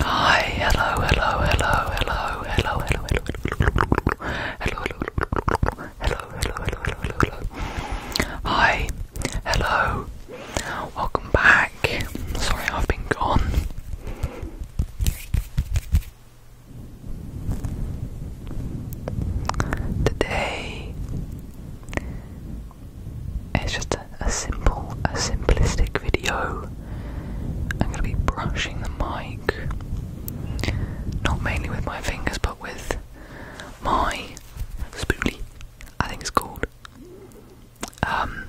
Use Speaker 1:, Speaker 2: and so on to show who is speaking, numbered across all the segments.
Speaker 1: Hi, hello, hello, hello, hello, hello, hello, hello, hello, hello, hello, hello, hello, hello, hello. Hi, hello. Welcome back. Sorry, I've been gone. Today, it's just a simple, a simplistic video. I'm gonna be brushing the mic, not mainly with my fingers, but with my spoolie. I think it's called. Um,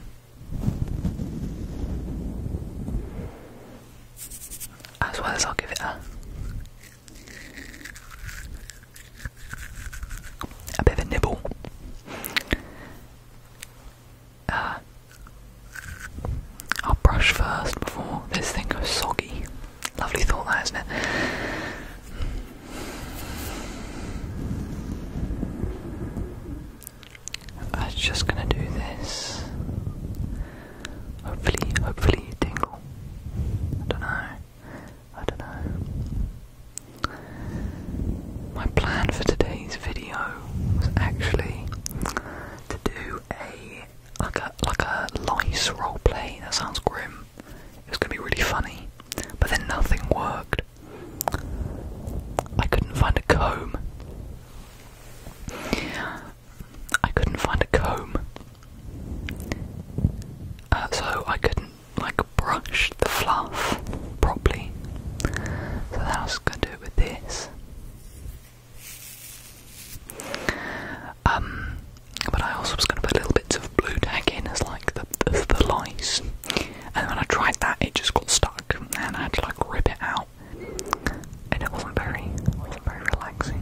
Speaker 1: as well as I'll give it a a bit of a nibble. Uh, I'll brush first before this thing goes soggy. Lovely thought, that isn't it? I'm just gonna do this. Hopefully, hopefully, tingle. I don't know. I don't know. My plan for today's video was actually to do a like a like a lice roleplay. That sounds grim. It was gonna be really funny, but then nothing worked. I couldn't find a comb. I couldn't find a comb. Uh, so I couldn't like brush the fluff properly. So that's gonna do it with this. Um, but I also was going to put little bits of blue tag in as like the, the, lice, and when I tried that, it just got stuck, and I had to like rip it out, and it wasn't very, it wasn't very relaxing.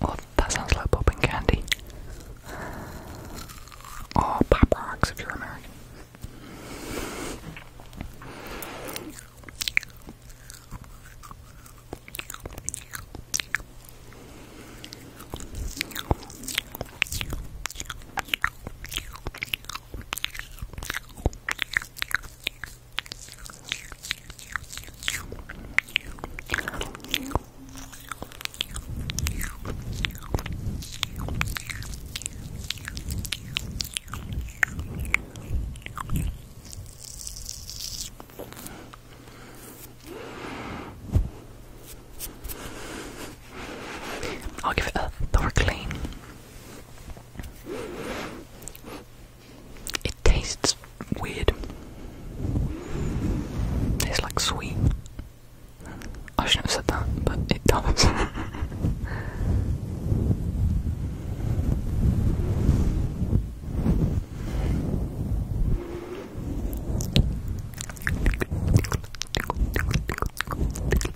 Speaker 1: Oh, that sounds like popping candy. Oh, pop rocks if you're American. I'll give it a thorough clean it tastes weird. It's like sweet. I shouldn't have said that, but it does.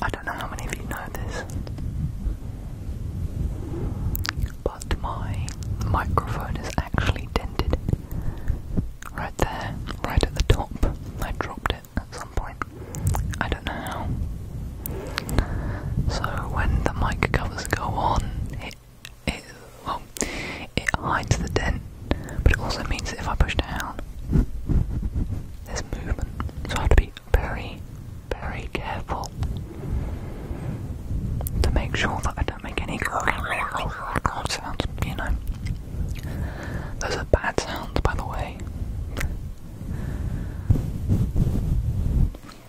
Speaker 1: I don't know how many of you know this, but my microphone is actually dented. Right there, right at the top. I dropped it at some point. I don't know how. So when the mic covers go on, it, hides the dent, but it also means that if I push down, there's movement, so I have to be very, very careful to make sure that I don't make any sounds, you know. Those are bad sounds, by the way.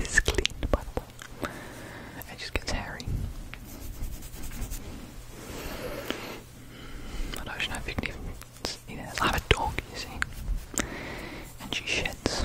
Speaker 1: It's clean, by the way. It just gets hairy. I don't know if you see have a dog, you see, and she sheds.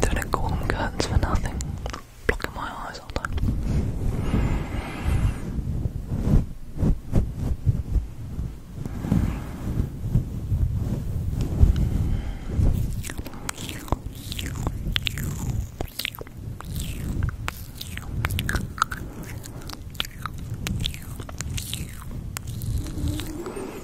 Speaker 1: Don't call for nothing. Blocking my eyes all the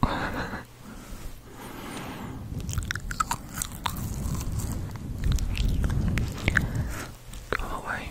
Speaker 1: Go away.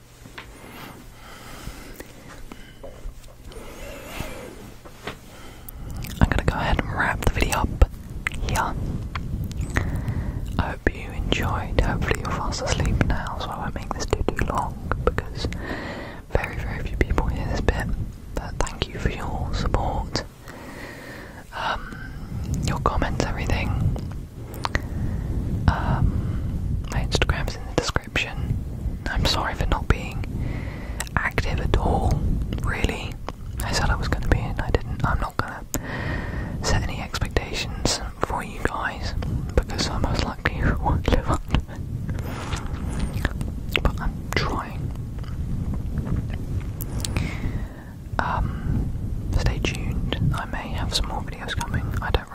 Speaker 1: I'm going to go ahead and wrap the video up here. I hope you enjoyed. Hopefully, you're fast asleep now, so I won't make this too too long because very very few people hear this bit. But thank you for your support, um, your comments, everything. Um, my Instagram's in the description. I'm sorry for not being active at all, really. I said I was going to be, and I didn't. I'm not going to set any expectations for you guys because I most likely won't live up But I'm trying. Um, stay tuned. I may have some more videos coming. I don't really.